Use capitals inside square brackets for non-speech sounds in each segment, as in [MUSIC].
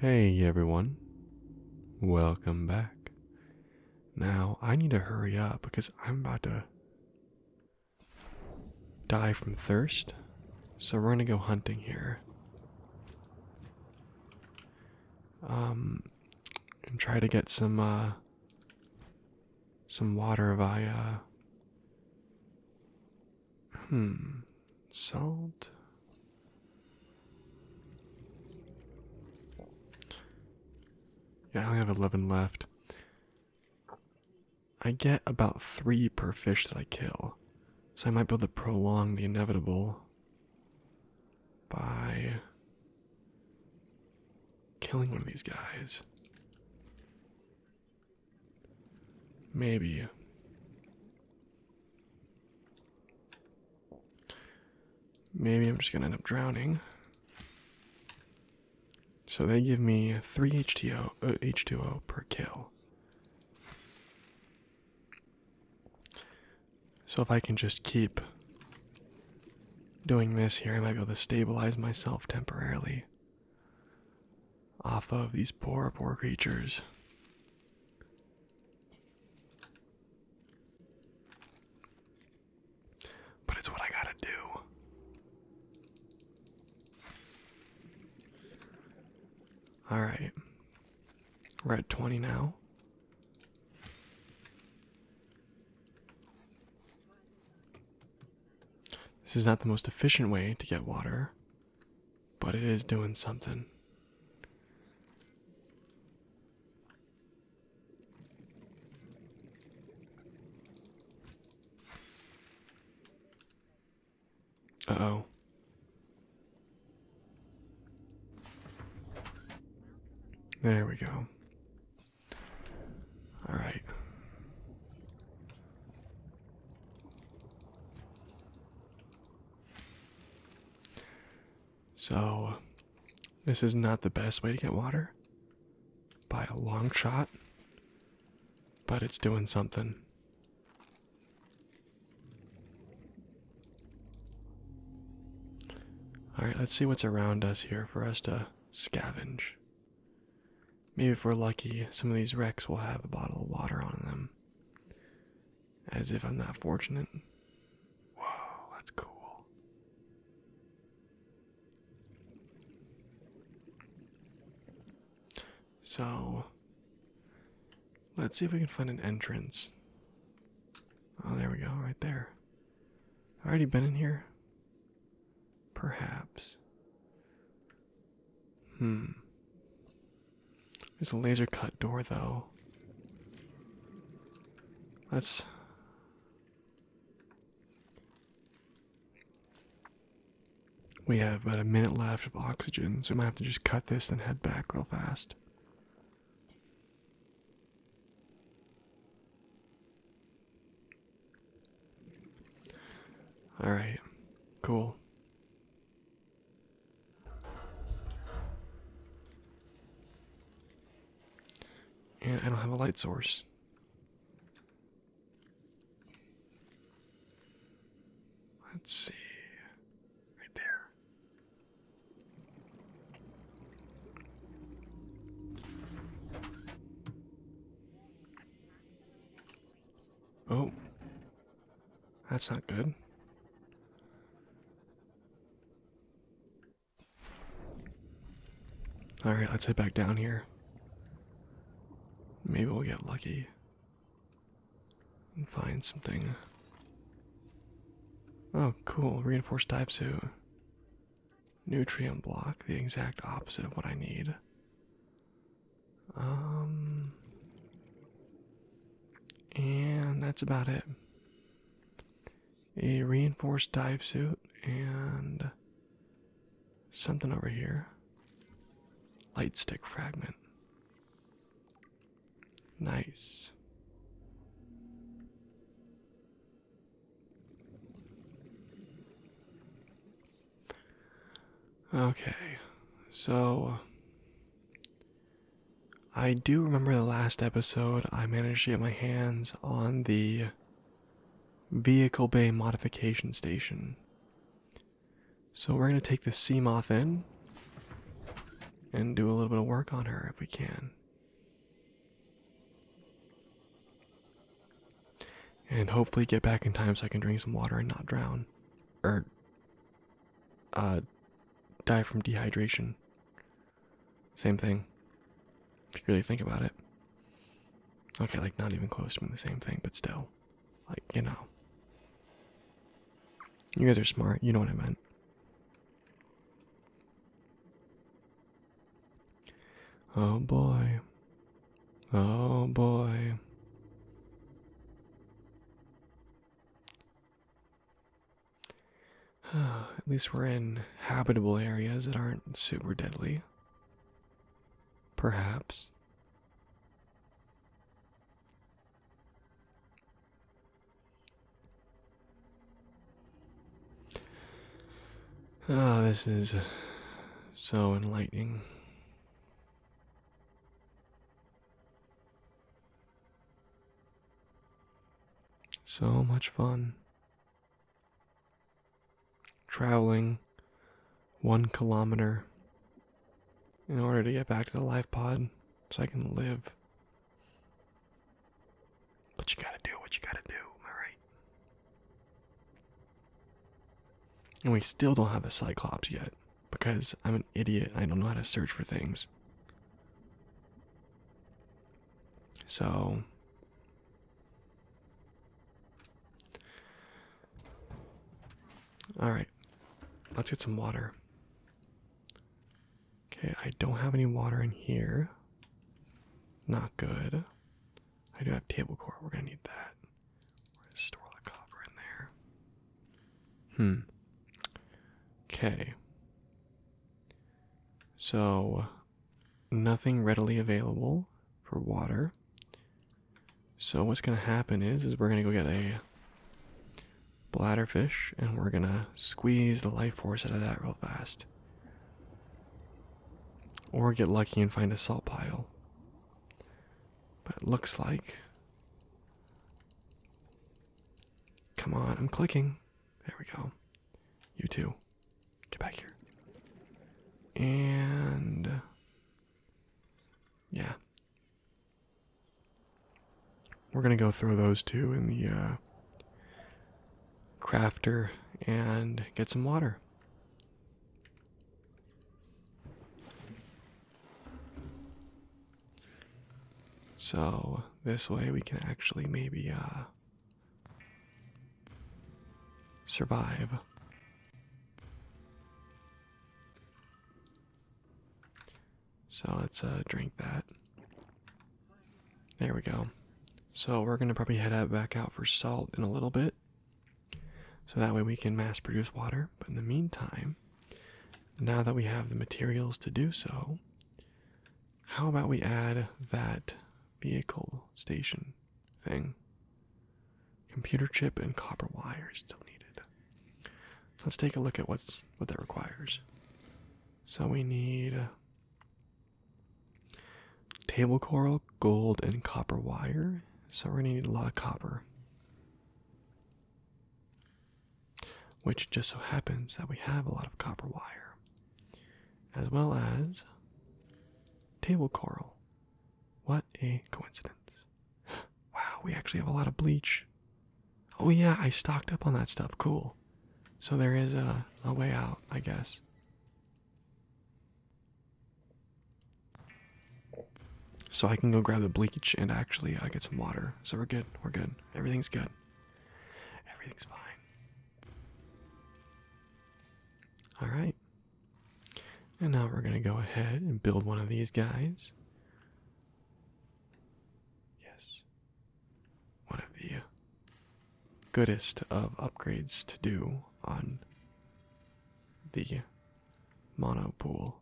Hey everyone, welcome back. Now, I need to hurry up because I'm about to die from thirst, so we're gonna go hunting here. Um, and try to get some, uh, some water via. Hmm, salt. Yeah, I only have 11 left. I get about three per fish that I kill, so I might be able to prolong the inevitable by killing one of these guys. Maybe. Maybe I'm just gonna end up drowning. So they give me three HTO, H2O uh, per kill. So if I can just keep doing this here, I might be able to stabilize myself temporarily off of these poor, poor creatures. But it's what I gotta do. Alright. We're at 20 now. This is not the most efficient way to get water, but it is doing something. Uh oh. There we go. All right. So, this is not the best way to get water by a long shot, but it's doing something. Alright, let's see what's around us here for us to scavenge. Maybe if we're lucky, some of these wrecks will have a bottle of water on them. As if I'm not fortunate. Whoa, that's cool. So, let's see if we can find an entrance. Oh, there we go, right there. Already been in here? Perhaps. Hmm. There's a laser cut door, though. Let's. We have about a minute left of oxygen, so we might have to just cut this and head back real fast. All right, cool. And I don't have a light source. Let's see. Right there. Oh. That's not good. Alright, let's head back down here. Maybe we'll get lucky and find something. Oh, cool. Reinforced dive suit. Nutrient block, the exact opposite of what I need. Um, and that's about it. A reinforced dive suit and something over here. Light stick fragment. Nice. Okay, so uh, I do remember the last episode I managed to get my hands on the vehicle bay modification station. So we're going to take the Seamoth in and do a little bit of work on her if we can and hopefully get back in time so I can drink some water and not drown or uh, die from dehydration. Same thing. If you really think about it. Okay, like not even close to being the same thing, but still. Like, you know. You guys are smart, you know what I meant. Oh boy. Oh boy. [SIGHS] At least we're in habitable areas that aren't super deadly. Perhaps. Ah, this is so enlightening. So much fun. Traveling one kilometer in order to get back to the life pod so I can live. But you gotta do what you gotta do, am I right? And we still don't have the Cyclops yet because I'm an idiot. I don't know how to search for things. So. Alright, let's get some water. Okay, I don't have any water in here. Not good. I do have table core. We're going to need that. We're store the copper in there. Hmm. Okay. So, nothing readily available for water. So what's gonna happen is, is we're gonna go get a bladder fish, and we're gonna squeeze the life force out of that real fast. Or get lucky and find a salt pile. But it looks like. Come on, I'm clicking. There we go. You too. Get back here. And. Yeah. We're gonna go throw those two in the uh, crafter and get some water. So this way we can actually maybe uh, survive. So let's uh, drink that. There we go. So we're gonna probably head out back out for salt in a little bit. So that way we can mass produce water. But in the meantime, now that we have the materials to do so, how about we add that vehicle station thing? Computer chip and copper wire is still needed. let's take a look at what's what that requires. So we need table coral, gold, and copper wire. So we're gonna need a lot of copper. Which just so happens that we have a lot of copper wire, as well as table coral. What a coincidence! [GASPS] Wow, we actually have a lot of bleach. Oh, yeah, I stocked up on that stuff. Cool. So there is a, way out, I guess. So I can go grab the bleach and actually I uh, get some water. So we're good. We're good. Everything's good. Everything's fine. All right. And now we're going to go ahead and build one of these guys. Yes. One of the goodest of upgrades to do on the mono pool.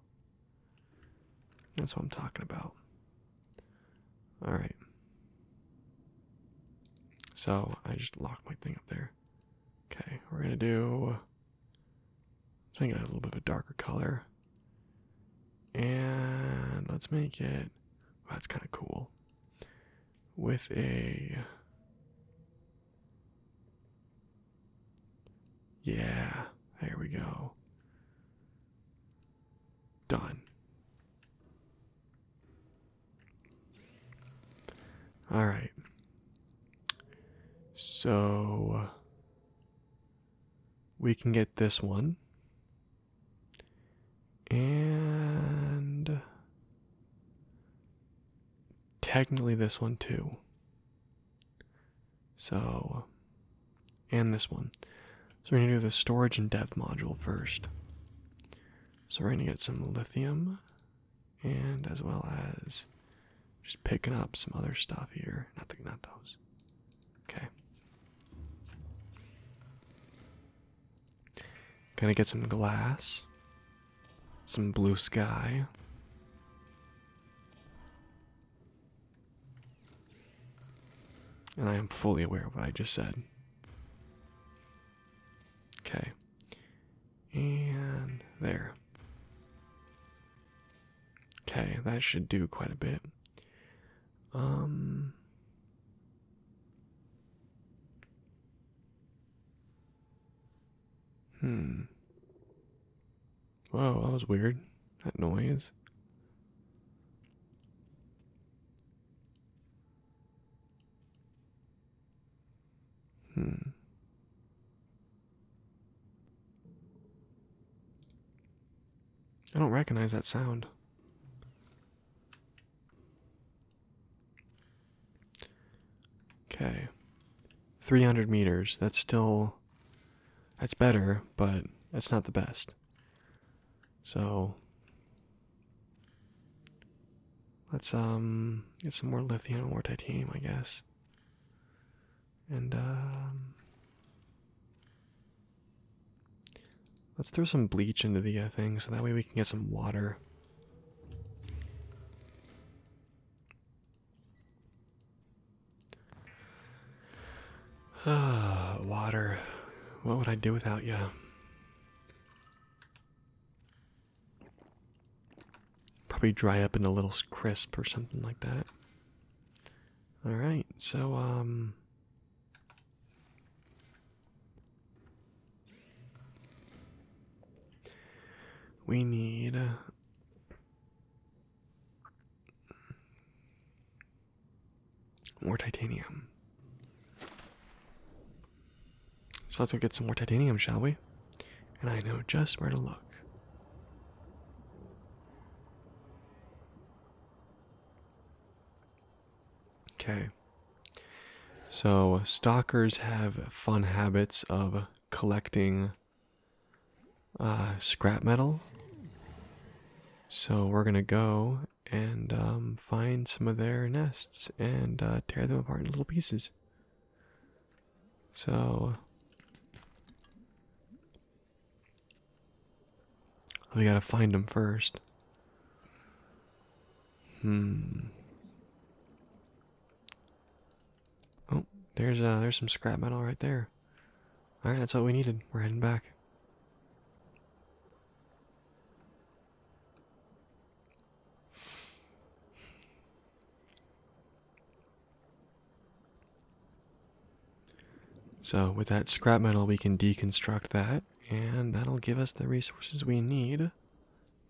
That's what I'm talking about. All right. So I just locked my thing up there. Okay, we're gonna do. Let's make it a little bit of a darker color. And let's make it. that's kind of cool. With a. Yeah, there we go. Done. All right. So we can get this one. And technically this one too. So, and this one. So we're going to do the storage and dev module first. So we're going to get some lithium and as well as just picking up some other stuff here. Not, the, not those. Okay. Gonna get some glass, some blue sky. And I am fully aware of what I just said. Okay. And there. Okay, that should do quite a bit. Um Hmm. Whoa, that was weird. That noise. Hmm. I don't recognize that sound. Okay. 300 meters. That's still that's better, but that's not the best. So let's um get some more lithium and more titanium, I guess. And um, let's throw some bleach into the uh, thing so that way we can get some water. Ah, [SIGHS] water. What would I do without you? Probably dry up in a little crisp or something like that. Alright, so, um. We need uh, more titanium. So let's go get some more titanium, shall we? And I know just where to look. Okay. So, stalkers have fun habits of collecting uh, scrap metal. So we're gonna go and um, find some of their nests and uh, tear them apart in little pieces. So we gotta find them first. Hmm. Oh, there's uh, there's some scrap metal right there. All right, that's all we needed. We're heading back. So with that scrap metal, we can deconstruct that, and that'll give us the resources we need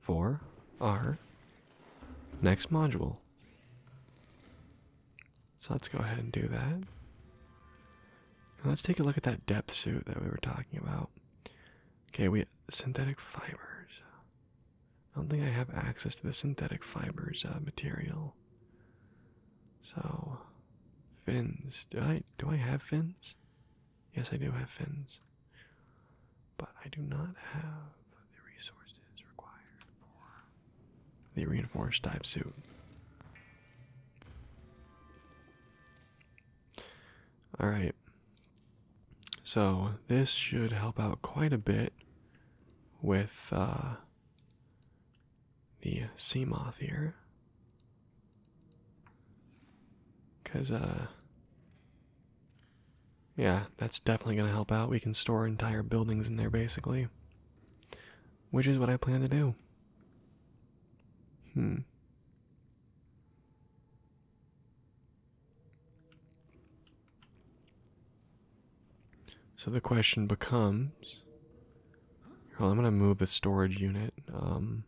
for our next module. So let's go ahead and do that. let's take a look at that depth suit that we were talking about. Okay, we synthetic fibers. I don't think I have access to the synthetic fibers uh, material. So, fins. Do I do I have fins? Yes, I do have fins. But I do not have the resources the reinforced dive suit. Alright, so this should help out quite a bit with uh, the sea moth here. Because, uh, yeah, that's definitely going to help out. We can store entire buildings in there basically which is what I plan to do. Hmm. So the question becomes well, I'm going to move the storage unit um,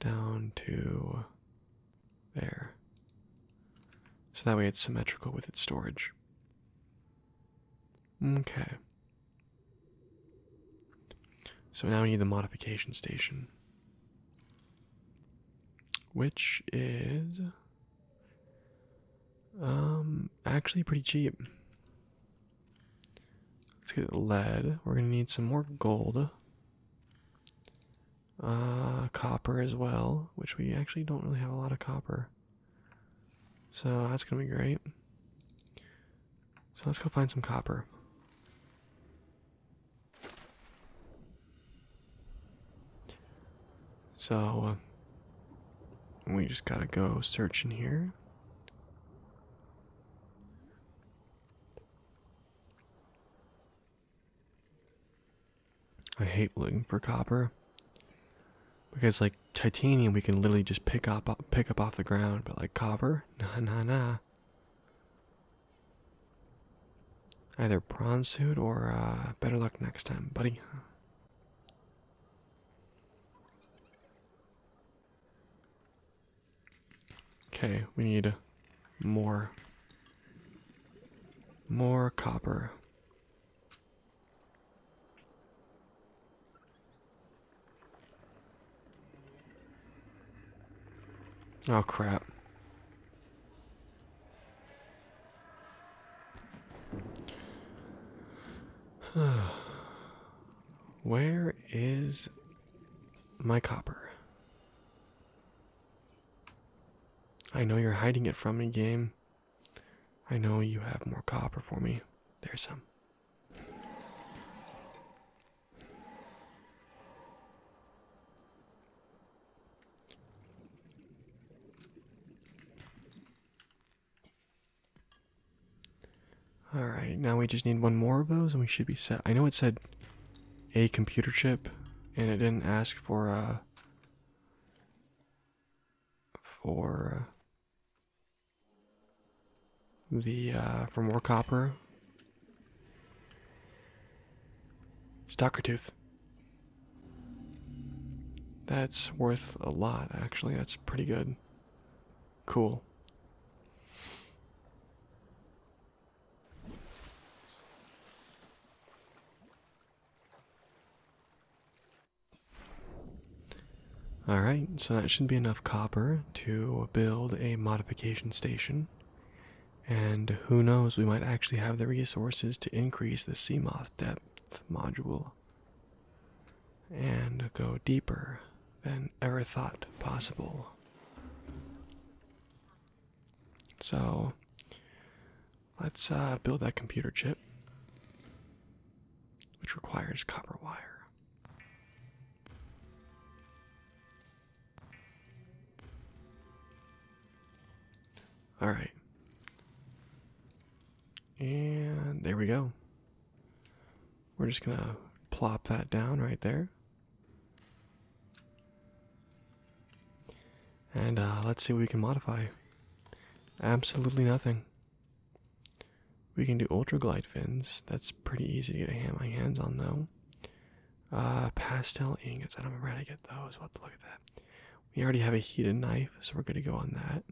down to there. So that way it's symmetrical with its storage. Okay. So now we need the modification station. Which is um actually pretty cheap. Let's get lead. We're gonna need some more gold. Uh copper as well, which we actually don't really have a lot of copper. So that's gonna be great. So let's go find some copper. So uh, we just gotta go searching here. I hate looking for copper because like titanium we can literally just pick up pick up off the ground, but like copper, [LAUGHS] nah nah nah. Either prawn suit or uh, better luck next time, buddy. Okay, we need more more copper. Oh, crap. [SIGHS] Where is my copper? I know you're hiding it from me, game. I know you have more copper for me. There's some. Alright, now we just need one more of those and we should be set. I know it said a computer chip and it didn't ask for, uh, for, uh, the uh, for more copper. Stocker tooth. That's worth a lot, actually. That's pretty good. Cool. Alright, so that should be enough copper to build a modification station. And who knows, we might actually have the resources to increase the Seamoth depth module and go deeper than ever thought possible. So, Let's uh, build that computer chip, which requires copper wire. All right. And there we go. We're just going to plop that down right there. And uh, let's see what we can modify. Absolutely nothing. We can do ultra glide fins. That's pretty easy to get my hands on though. Uh, pastel ingots. I don't remember how to get those. We'll have to look at that. We already have a heated knife, so we're going to go on that.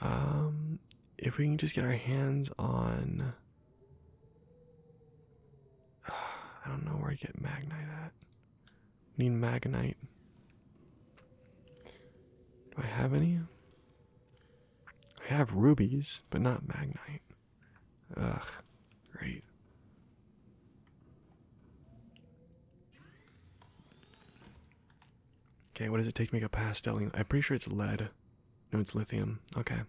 Um, if we can just get our hands on. [SIGHS] I don't know where to get magnite at. Need maganite. Do I have any? I have rubies, but not maganite. Ugh, great. Okay, what does it take to make a pastel? I'm pretty sure it's lead. No, it's lithium. Okay.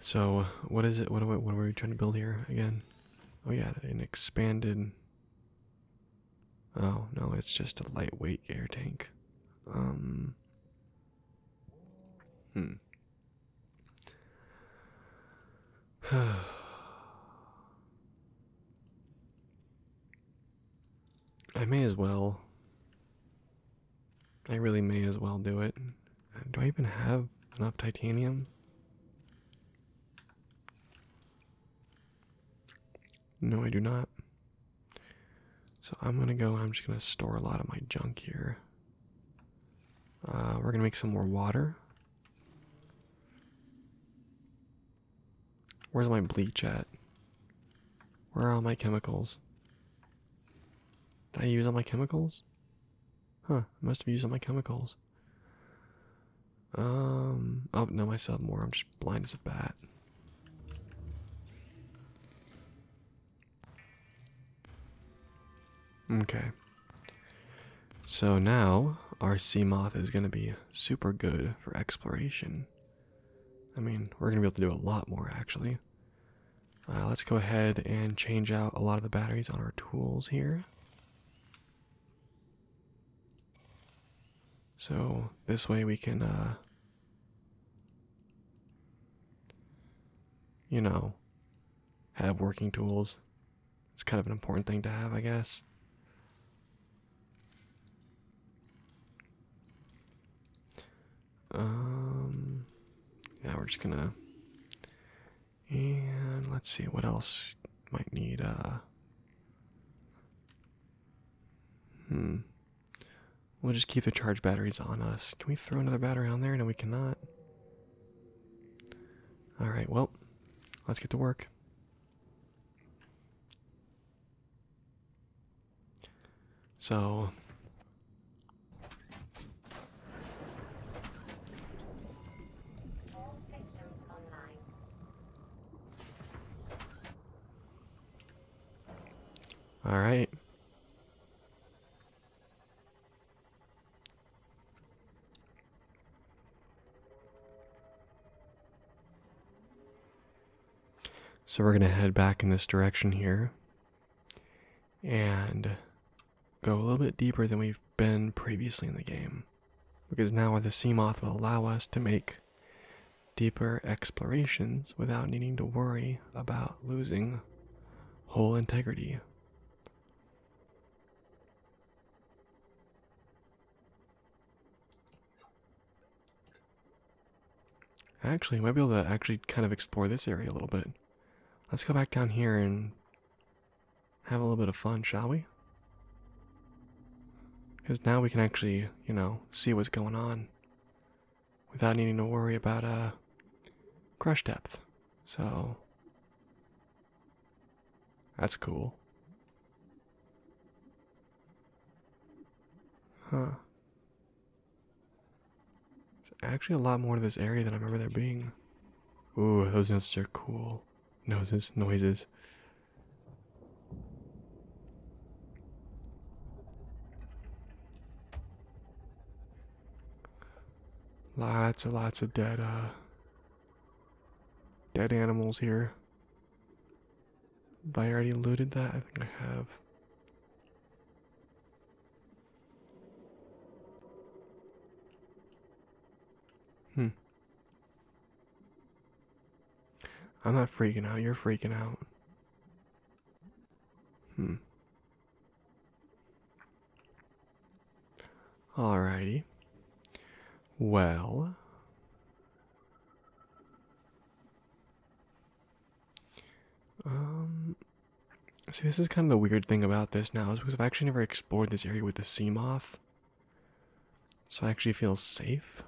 So, what is it? What, what, what are we trying to build here again? Oh, yeah, an expanded Oh, no, it's just a lightweight air tank. Um, hmm. [SIGHS] I may as well. I really may as well do it. Do I even have enough titanium? No, I do not. So I'm gonna go. I'm just gonna store a lot of my junk here. Uh, we're gonna make some more water. Where's my bleach at? Where are all my chemicals? Did I use all my chemicals? Huh, I must have used all my chemicals. Um. Oh no, I more. I'm just blind as a bat. Okay. So now our sea moth is going to be super good for exploration. I mean, we're going to be able to do a lot more actually. Uh, let's go ahead and change out a lot of the batteries on our tools here. So this way we can, uh, you know, have working tools. It's kind of an important thing to have, I guess. Um, yeah, we're just gonna, and let's see what else might need uh hmm we'll just keep the charge batteries on us can we throw another battery on there no we cannot all right well let's get to work so all systems online all right. So we're going to head back in this direction here and go a little bit deeper than we've been previously in the game because now the sea moth will allow us to make deeper explorations without needing to worry about losing whole integrity. Actually, I might be able to actually kind of explore this area a little bit. Let's go back down here and have a little bit of fun, shall we? Because now we can actually, you know, see what's going on without needing to worry about a uh, crush depth. So, that's cool. Huh. There's actually a lot more to this area than I remember there being. Ooh, those notes are cool noses, noises. Lots and lots of dead, uh, dead animals here. I already looted that? I think I have. Hmm. I'm not freaking out, you're freaking out. Hmm. righty. Well, um, see, this is kind of the weird thing about this now is because I've actually never explored this area with the sea moth. So I actually feel safe.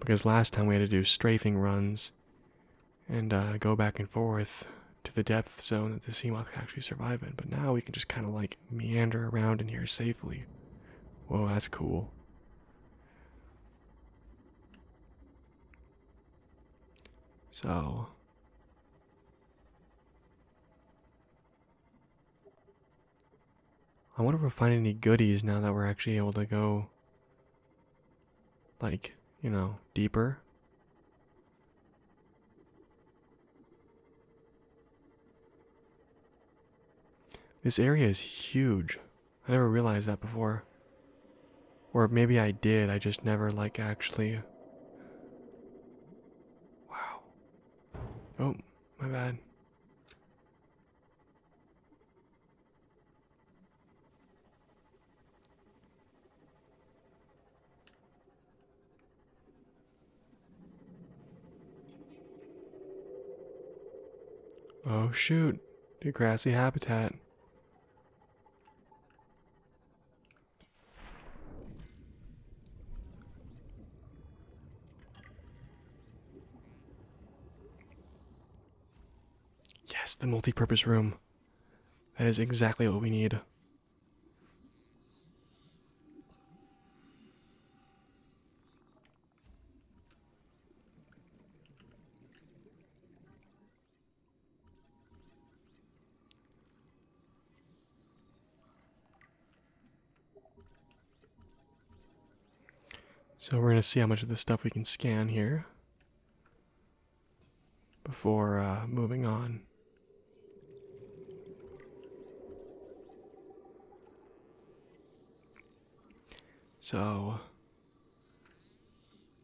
Because last time we had to do strafing runs and uh, go back and forth to the depth zone that the Seamoth can actually survive in. But now we can just kind of like meander around in here safely. Whoa, that's cool. So, I wonder if we're finding any goodies now that we're actually able to go, like, you know, deeper. This area is huge. I never realized that before. Or maybe I did, I just never like actually. Wow. Oh, my bad. Oh shoot, the grassy habitat. Yes, the multi-purpose room. That is exactly what we need. So we're going to see how much of this stuff we can scan here before uh, moving on. So,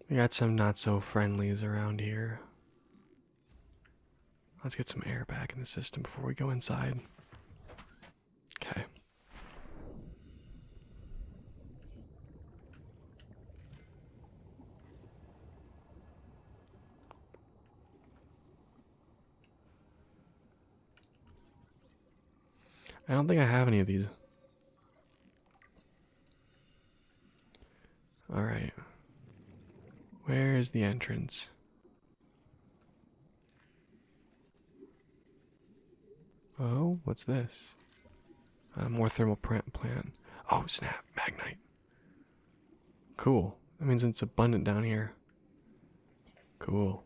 we got some not so friendlies around here. Let's get some air back in the system before we go inside. Okay. I don't think I have any of these. Alright. Where is the entrance? Oh, what's this? more thermal plant. Oh, snap. Magnite. Cool. That means it's abundant down here. Cool.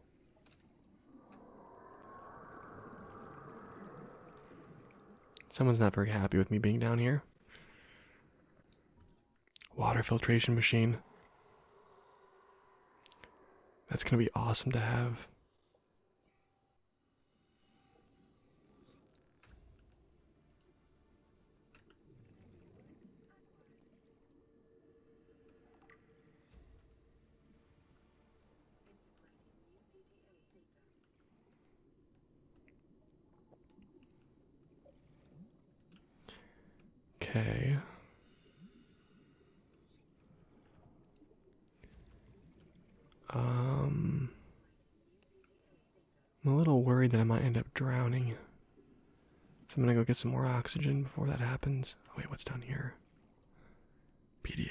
Someone's not very happy with me being down here water filtration machine. That's going to be awesome to have. Okay. Um, I'm a little worried that I might end up drowning. So I'm gonna go get some more oxygen before that happens. Oh, wait, what's down here? PDA.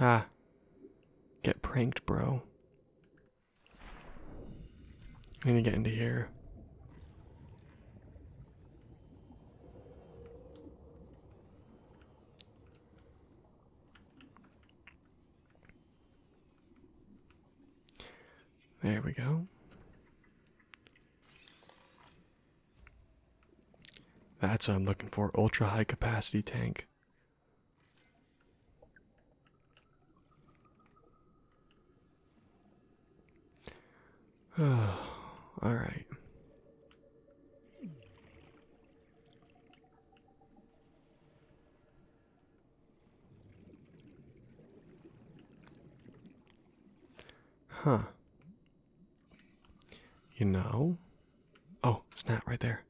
Ah. Get pranked, bro. I am going to get into here. There we go. That's what I'm looking for. Ultra high capacity tank. [SIGHS] all right. Huh. You know? Oh, snap right there.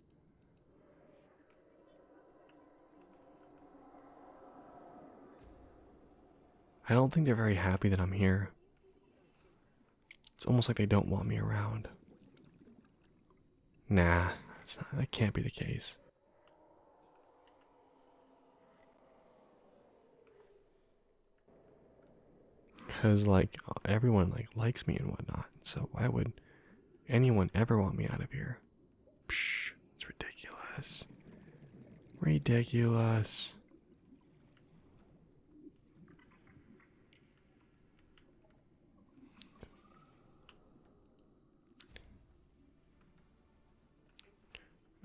I don't think they're very happy that I'm here. It's almost like they don't want me around. Nah, it's not, that can't be the case. Cause like everyone like likes me and whatnot, so why would anyone ever want me out of here? it's ridiculous. Ridiculous.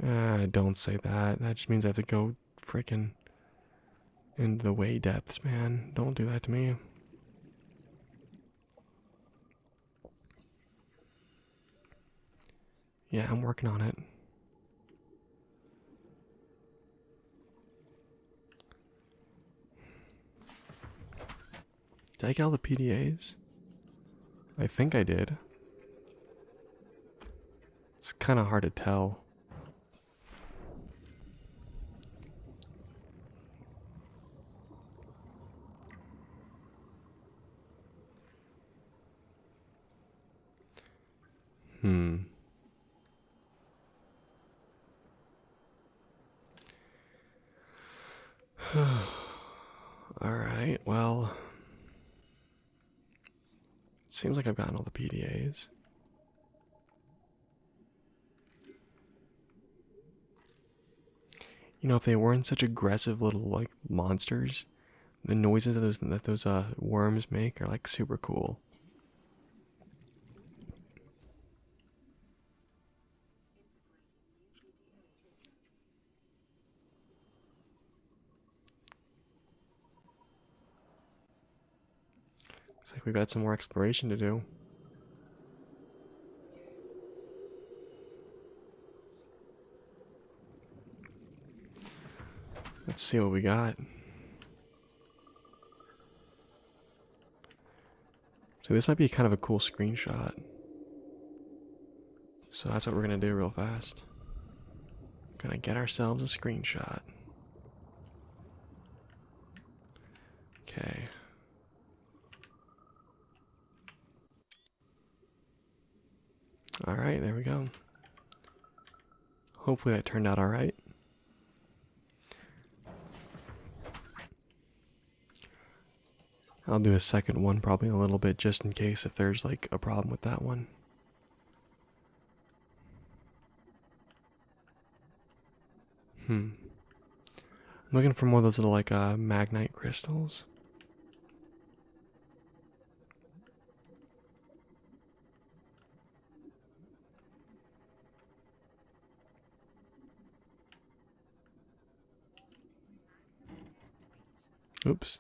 Ah, don't say that. That just means I have to go freaking into the way depths, man. Don't do that to me. Yeah, I'm working on it. Did I get all the PDAs? I think I did. It's kind of hard to tell. Hmm. [SIGHS] All right, well, it seems like I've gotten all the PDAs. You know, if they weren't such aggressive little like monsters, the noises that those that those uh worms make are like super cool. Looks like we've got some more exploration to do. Let's see what we got. So this might be kind of a cool screenshot. So that's what we're gonna do real fast. Gonna get ourselves a screenshot. Okay. Alright, there we go. Hopefully that turned out alright. I'll do a second one probably in a little bit just in case if there's like a problem with that one. Hmm. I'm looking for more of those little like uh, magnite crystals. Oops.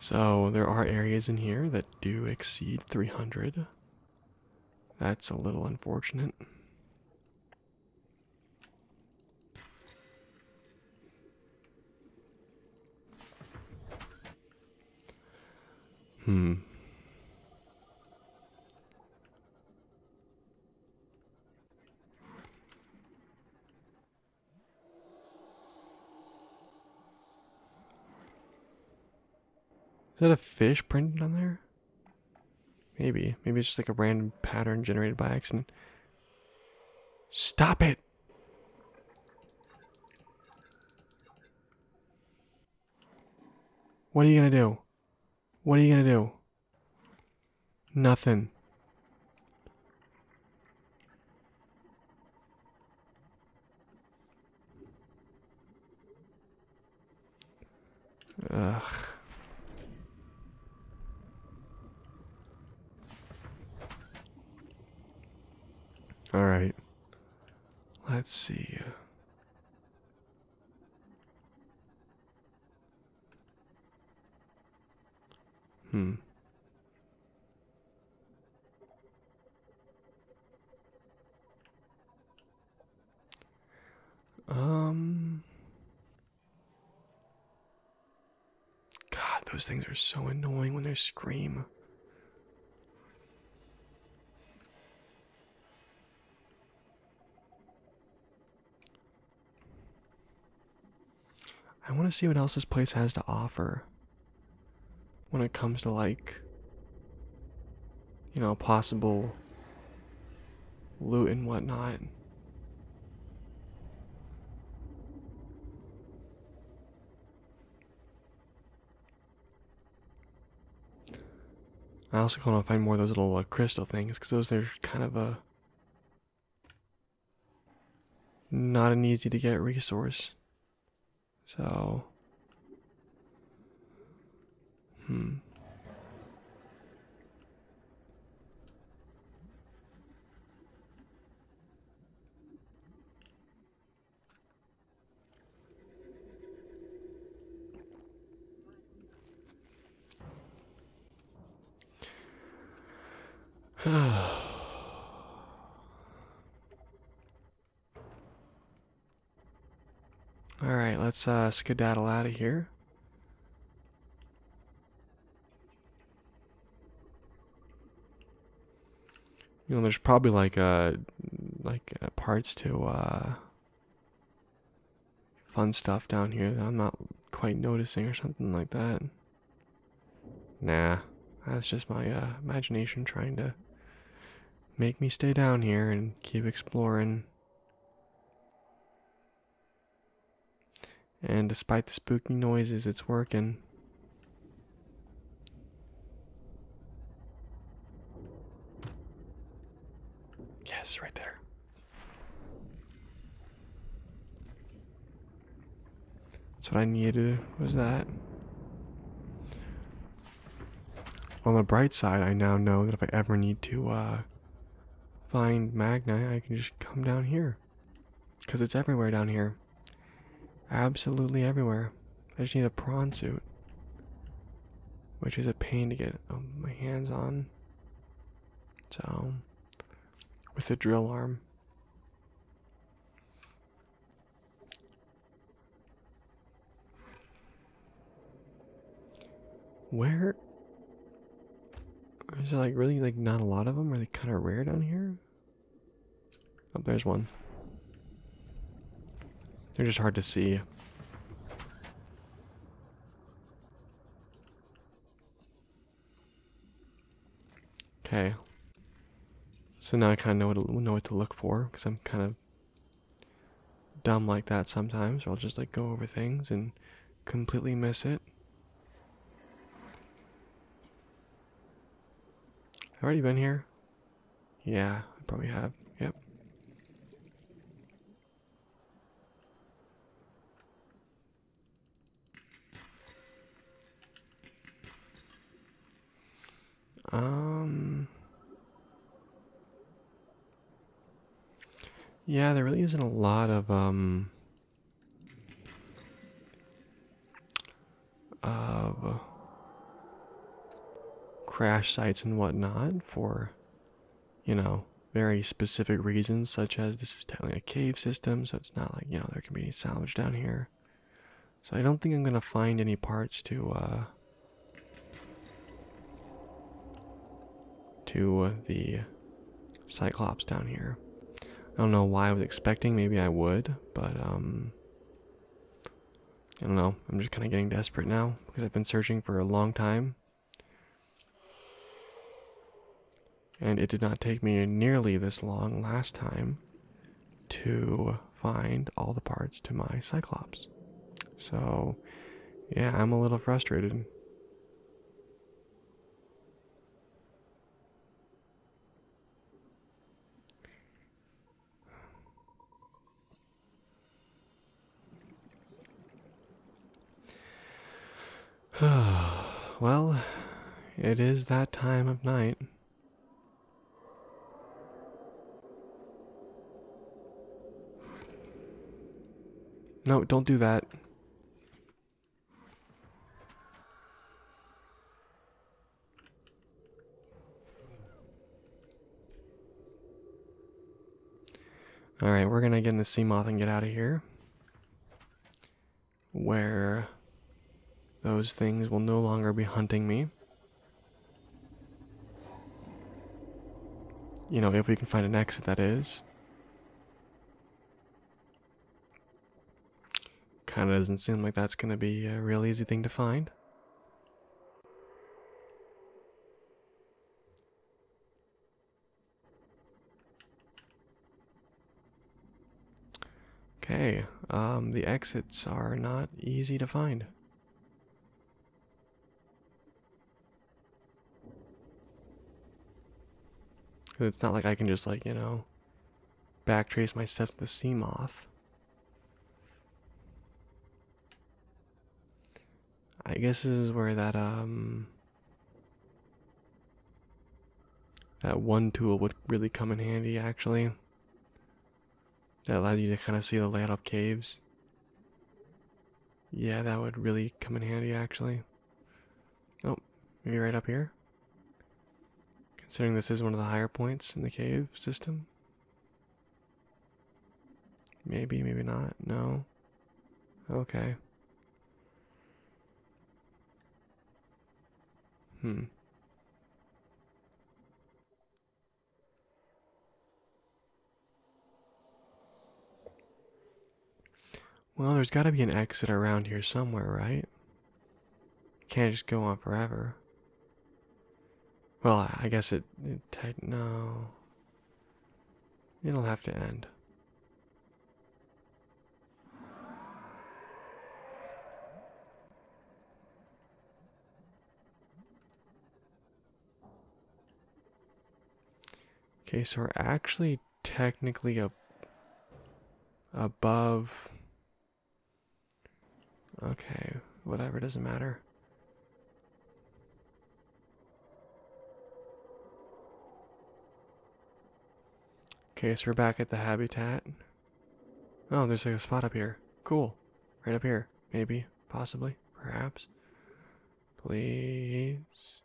So there are areas in here that do exceed 300. That's a little unfortunate. Hmm. Is that a fish printed on there? Maybe. Maybe it's just like a random pattern generated by accident. Stop it! What are you gonna do? What are you gonna do? Nothing. Ugh. All right. Let's see. Hmm. Um. God, those things are so annoying when they scream. I want to see what else this place has to offer when it comes to, like, you know, possible loot and whatnot. I also want to find more of those little uh, crystal things because those are kind of a not an easy to get resource. So, hmm. [SIGHS] All right, let's uh, skedaddle out of here. You know, there's probably like uh, like uh, parts to fun stuff down here that I'm not quite noticing or something like that. Nah, that's just my uh, imagination trying to make me stay down here and keep exploring. And despite the spooky noises, it's working. Yes, right there. That's what I needed was that. On the bright side, I now know that if I ever need to uh, find Magni, I can just come down here. Because it's everywhere down here. Absolutely everywhere. I just need a prawn suit. Which is a pain to get um, my hands on. So, with a drill arm. Where is there like really like not a lot of them? Are they kind of rare down here? Oh, there's one. They're just hard to see. Okay. So now I kind of know what to, know what to look for because I'm kind of dumb like that sometimes. Or I'll just like go over things and completely miss it. i already been here. Yeah, I probably have. Yep. Um. Yeah, there really isn't a lot of um of crash sites and whatnot for you know very specific reasons such as this is technically a cave system so it's not like you know can be any salvage down here. So I don't think I'm going to find any parts to, uh, to uh, the Cyclops down here. I don't know why I was expecting, maybe I would, but, um, I don't know, I'm just kind of getting desperate now, because I've been searching for a long time and it did not take me nearly this long last time to find all the parts to my Cyclops. So, yeah, I'm a little frustrated. [SIGHS] well, it is that time of night. No, don't do that. Alright, we're gonna get in the sea moth and get out of here where those things will no longer be hunting me. You know, if we can find an exit, that is. Kind of doesn't seem like that's going to be a real easy thing to find. Okay, um, the exits are not easy to find. it's not like I can just like, you know, backtrace my steps to sea moth. I guess this is where that um that one tool would really come in handy actually. That allows you to kind of see the layout of caves. Yeah, that would really come in handy actually. Oh, maybe right up here? Considering this is one of the higher points in the cave system. Maybe, maybe not. No. Okay. Hmm. Well, there's gotta be an exit around here somewhere, right? Can't just go on forever. Well, I guess it. no. It'll have to end. Okay, so we're actually technically up above. Okay, whatever, doesn't matter. Okay, so we're back at the habitat. Oh, there's like a spot up here. Cool. Right up here. Maybe. Possibly. Perhaps. Please.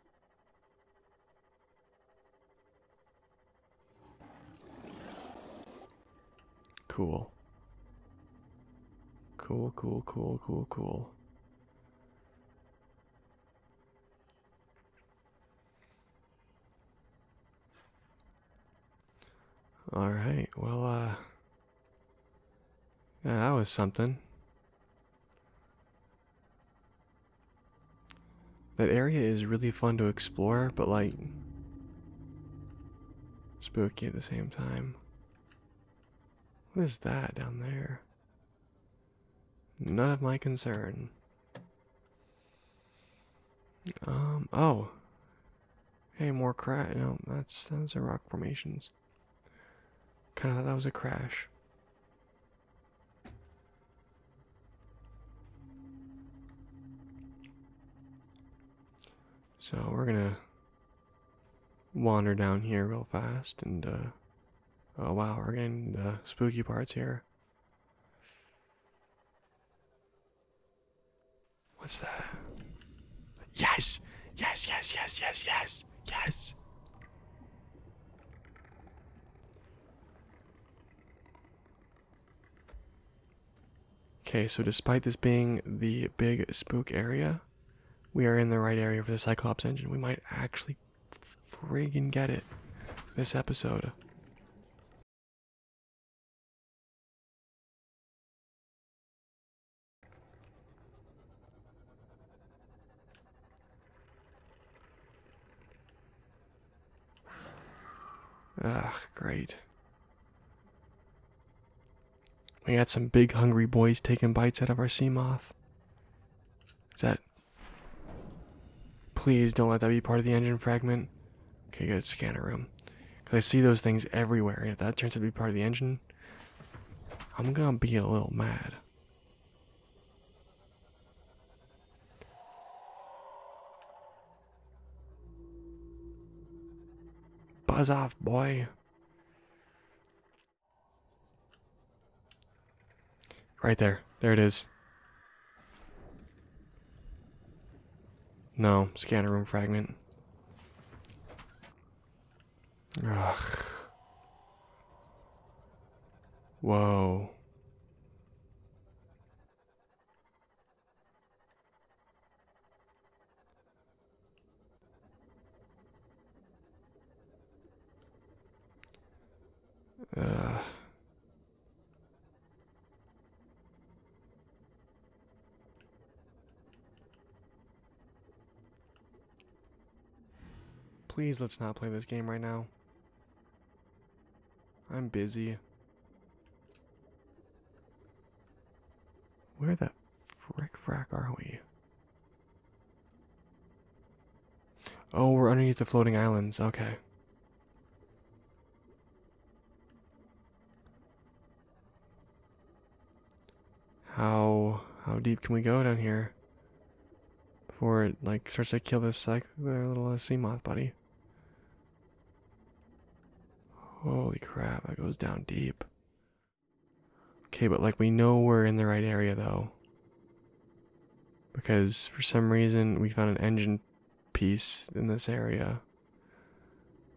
Cool. Cool, cool, cool, cool, cool. All right. Well, uh, that was something. That area is really fun to explore, but like spooky at the same time. What is that down there? None of my concern. Um, oh. Hey, more crash. No, that's, those are rock formations. Kind of thought that was a crash. So we're gonna wander down here real fast and, uh, oh wow, we're getting the uh, spooky parts here. What's that? Yes! Yes, yes, yes, yes, yes, yes! Okay, so despite this being the big spook area, we are in the right area for the Cyclops engine. We might actually friggin' get it this episode. Ugh! great. We got some big hungry boys taking bites out of our sea moth. Is that. Please don't let that be part of the engine fragment. Okay, good scanner room. Cause I see those things everywhere, and if that turns out to be part of the engine, I'm gonna be a little mad. Buzz off, boy. Right there. There it is. No, scanner room fragment. Ugh. Whoa. Uh, Please let's not play this game right now. I'm busy. Where the frick frack are we? Oh, we're underneath the floating islands. Okay. How how deep can we go down here before it like starts to kill this psych their little uh, sea moth buddy? Holy crap! That goes down deep. Okay, but like we know we're in the right area though. Because for some reason we found an engine piece in this area.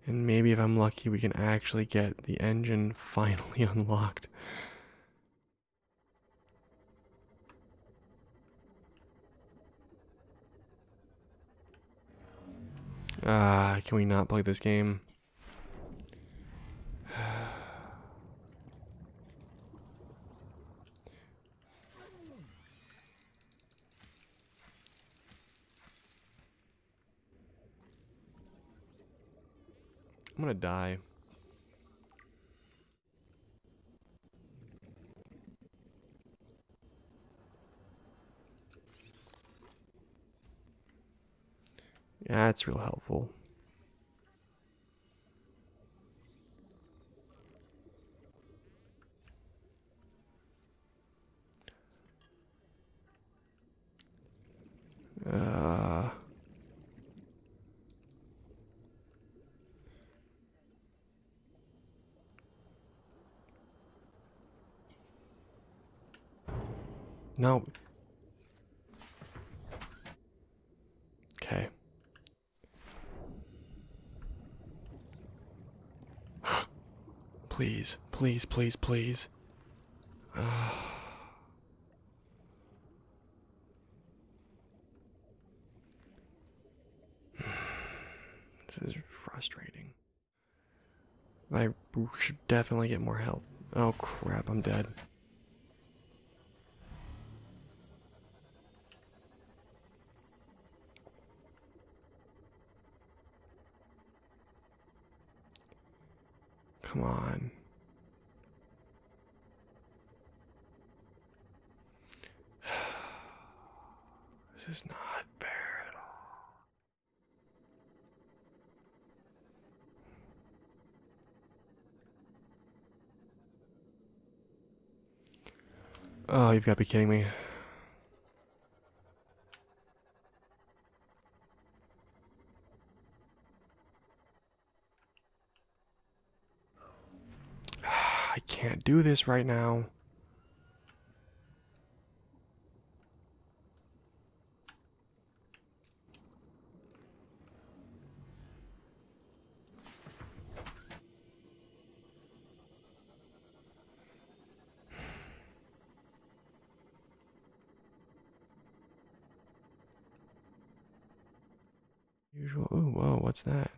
And maybe if I'm lucky, we can actually get the engine [LAUGHS] finally unlocked. Ah, can we not play this game? I'm gonna die. Yeah, it's real helpful. Uh, no. Okay please, please, please, please. [SIGHS] this is frustrating. I should definitely get more health. Oh crap, I'm dead. Come on. [SIGHS] This is not fair at all. Oh, you've got to be kidding me. I can't do this right now. Usual. Oh, wow, what's that?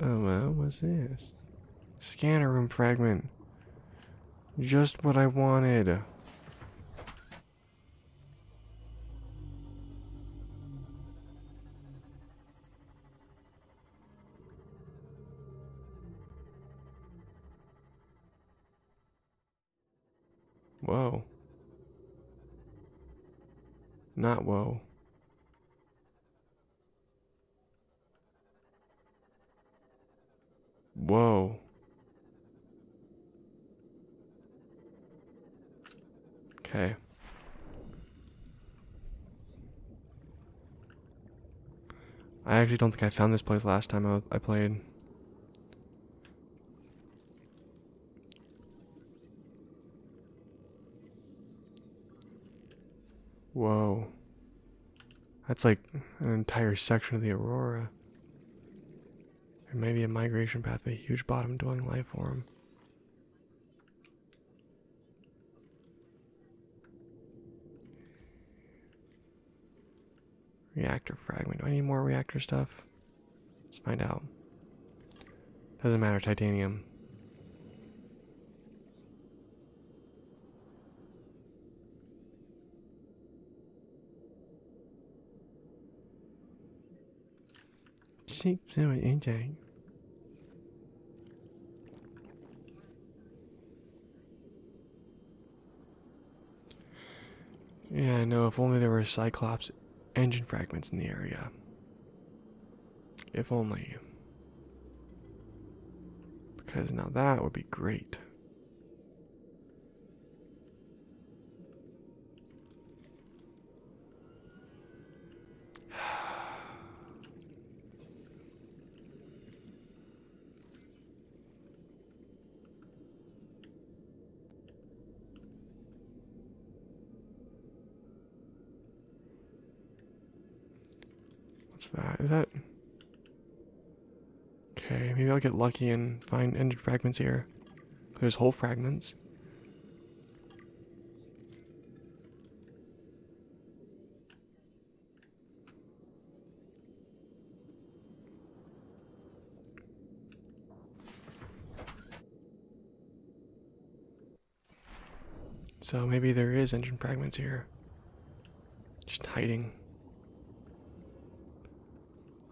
Oh, man, what's this? Scanner room fragment. Just what I wanted. Whoa. Not whoa. Whoa. Okay. I actually don't think I found this place last time I, played. Whoa. That's like an entire section of the Aurora. There may be a migration path, a huge bottom dwelling life form. Reactor fragment. Do I need more reactor stuff? Let's find out. Doesn't matter, titanium. Seeps in intake. Yeah, I know. If only there were Cyclops engine fragments in the area. If only. Because now that would be great. What's that? Is that. Okay, maybe I'll get lucky and find ended fragments here. There's whole fragments. So maybe there is engine fragments here. Just hiding.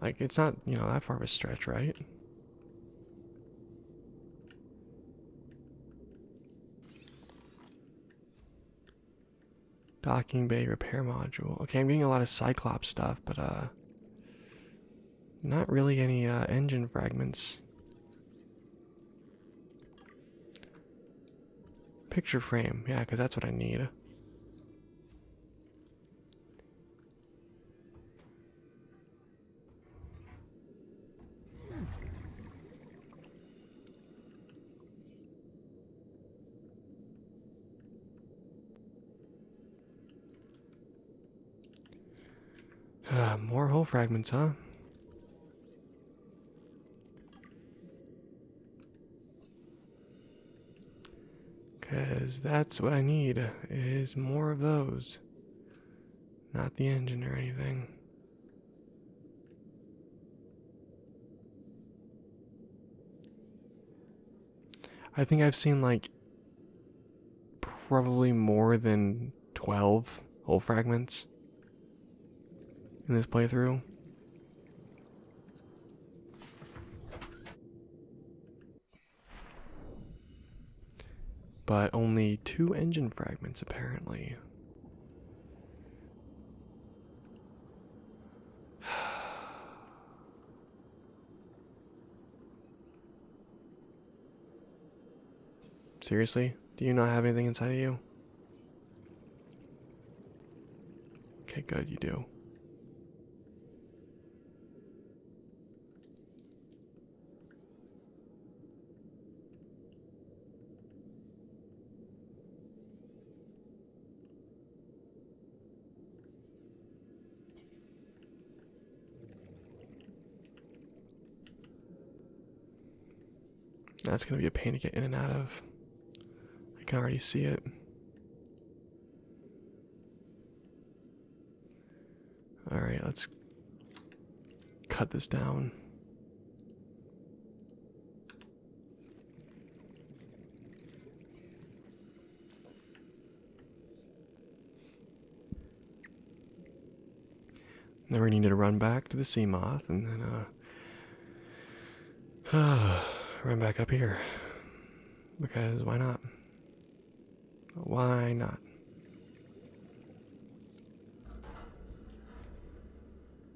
Like, it's not, you know, that far of a stretch, right? Docking bay repair module. Okay, I'm getting a lot of Cyclops stuff, but uh, not really any uh, engine fragments. Picture frame, yeah, because that's what I need. Uh, more whole fragments, huh? Because that's what I need, is more of those. Not the engine or anything. I think I've seen like probably more than 12 whole fragments in this playthrough. But only two engine fragments apparently. [SIGHS] Seriously? Do you not have anything inside of you? Okay, good, you do. That's going to be a pain to get in and out of. I can already see it. All right, let's cut this down. Then we needed to run back to the sea moth and then uh uh, [SIGHS] run back up here. Because why not? Why not?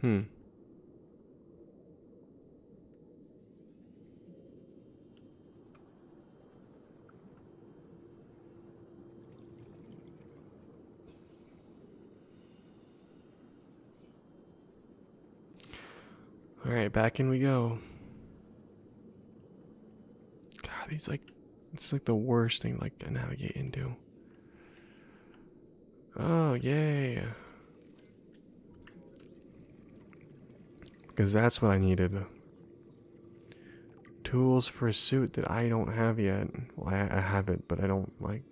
Hmm. All right, back in we go. God, these like it's like the worst thing like to navigate into. Oh, yay. Because that's what I needed. Tools for a suit that I don't have yet. Well, I, have it, but I don't like.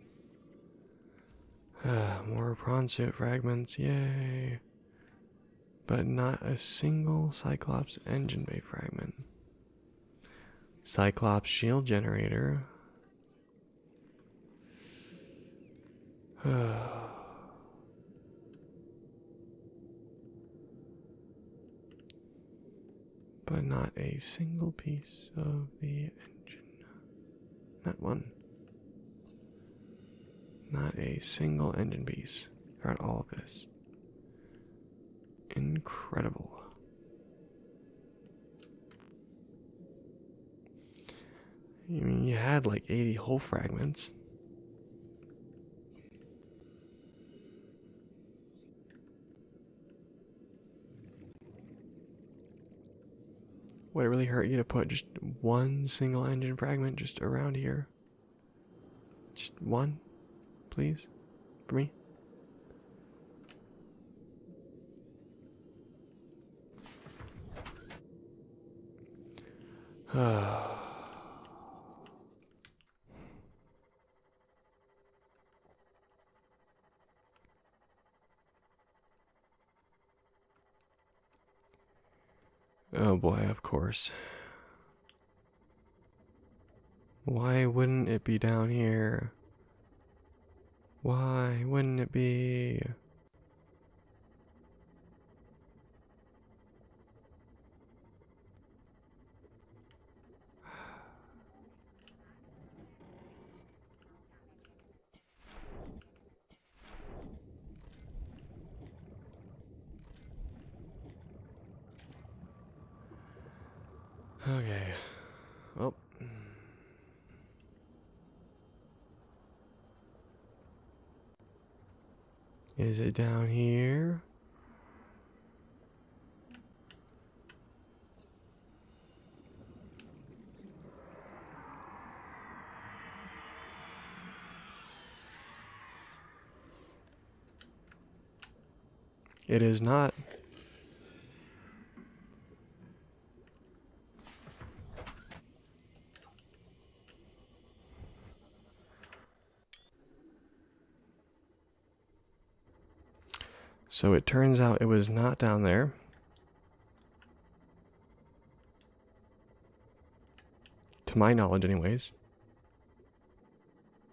[SIGHS] more prawn suit fragments, yay. But not a single Cyclops engine bay fragment. Cyclops shield generator. [SIGHS] but not a single piece of the engine. Not one. Not a single engine piece throughout all of this. Incredible. I mean, you had like 80 whole fragments. Would it really hurt you to put just one single engine fragment just around here? Just one, please? for me. [SIGHS] oh boy, of course. Why wouldn't it be down here? Why wouldn't it be? Okay. Well. Is it down here? It is not. So it turns out it was not down there. To my knowledge, anyways.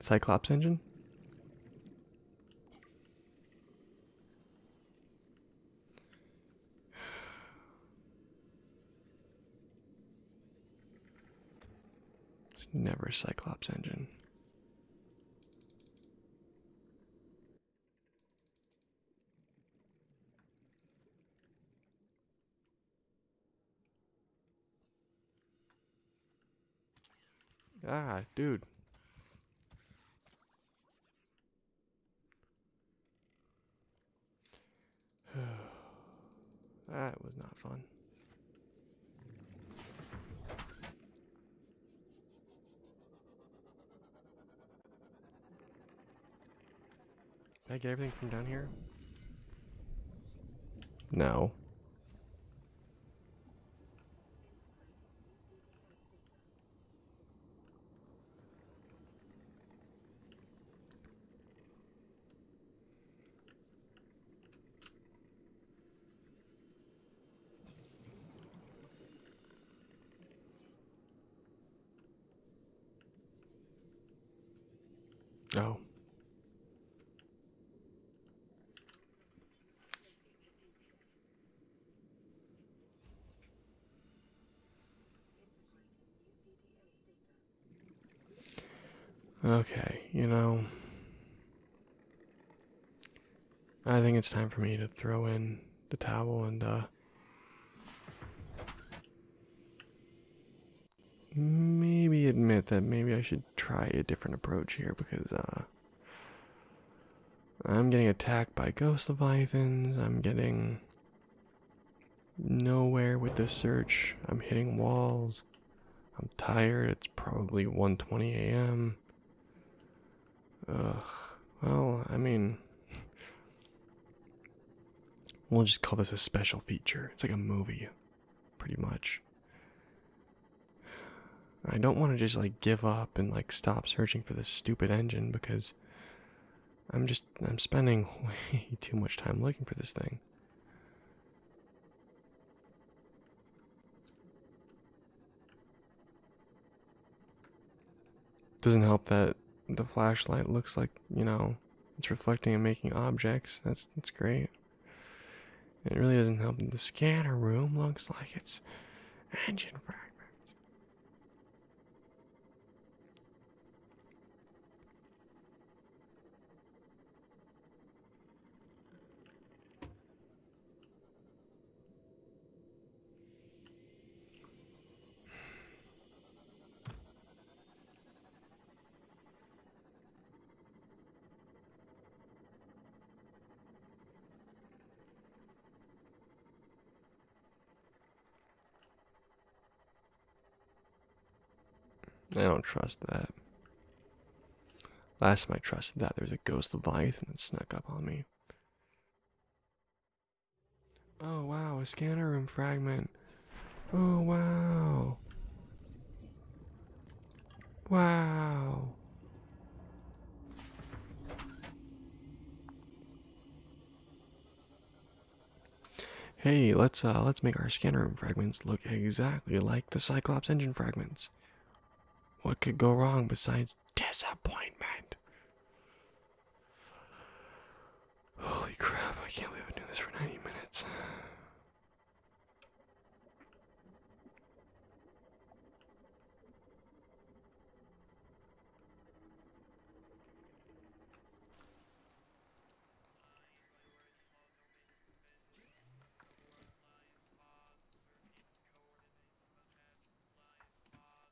Cyclops engine? It's never a Cyclops engine. Ah, dude. [SIGHS] that was not fun. Did I get everything from down here? No. Oh. Okay, you know, I think it's time for me to throw in the towel and uh, maybe admit that maybe I should try a different approach here because uh, I'm getting attacked by ghost leviathans. I'm getting nowhere with this search. I'm hitting walls. I'm tired. It's probably 1:20 a.m. Ugh. Well, I mean, we'll just call this a special feature. It's like a movie, pretty much. I don't want to just like give up and like stop searching for this stupid engine because I'm just I'm spending [LAUGHS] way too much time looking for this thing. Doesn't help that the flashlight looks like, you know, it's reflecting and making objects. That's that's great. It really doesn't help the scanner room looks like it's engine fragments. I don't trust that. Last time I trusted that, there was a ghost of leviathan that snuck up on me. Oh wow, a scanner room fragment. Oh wow. Wow. Hey, let's uh let's make our scanner room fragments look exactly like the Cyclops engine fragments. What could go wrong besides disappointment. Holy crap, I can't believe I've been doing this for 90 minutes.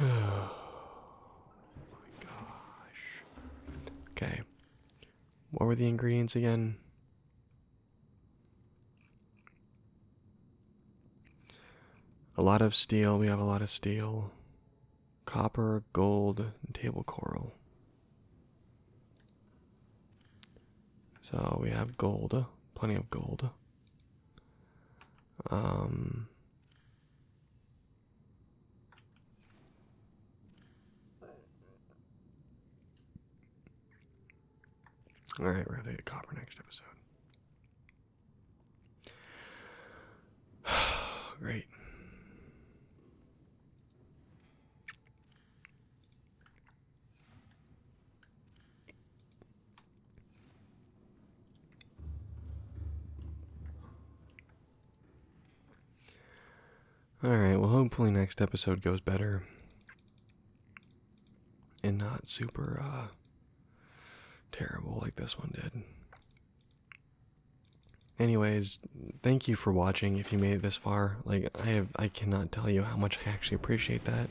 oh my gosh. Okay. What were the ingredients again? A lot of steel. We have a lot of steel. Copper, gold, and table coral. So we have gold, plenty of gold. Um alright ready gonna take copper next episode. [SIGHS] Great. Alright, well, hopefully, next episode goes better and not super uh, terrible like this one did. Anyways, thank you for watching if you made it this far. Like I have I cannot tell you how much I actually appreciate that.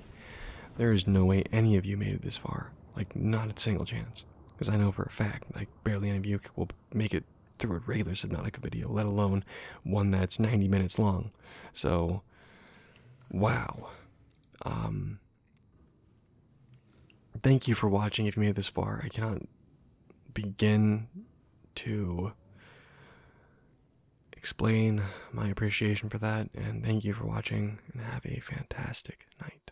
There is no way any of you made it this far. Like not a single chance. Because I know for a fact, like barely any of you will make it through a regular Subnautica video, let alone one that's 90 minutes long. So, wow. Um, thank you for watching if you made it this far. I cannot begin to explain my appreciation for that, and thank you for watching, and have a fantastic night.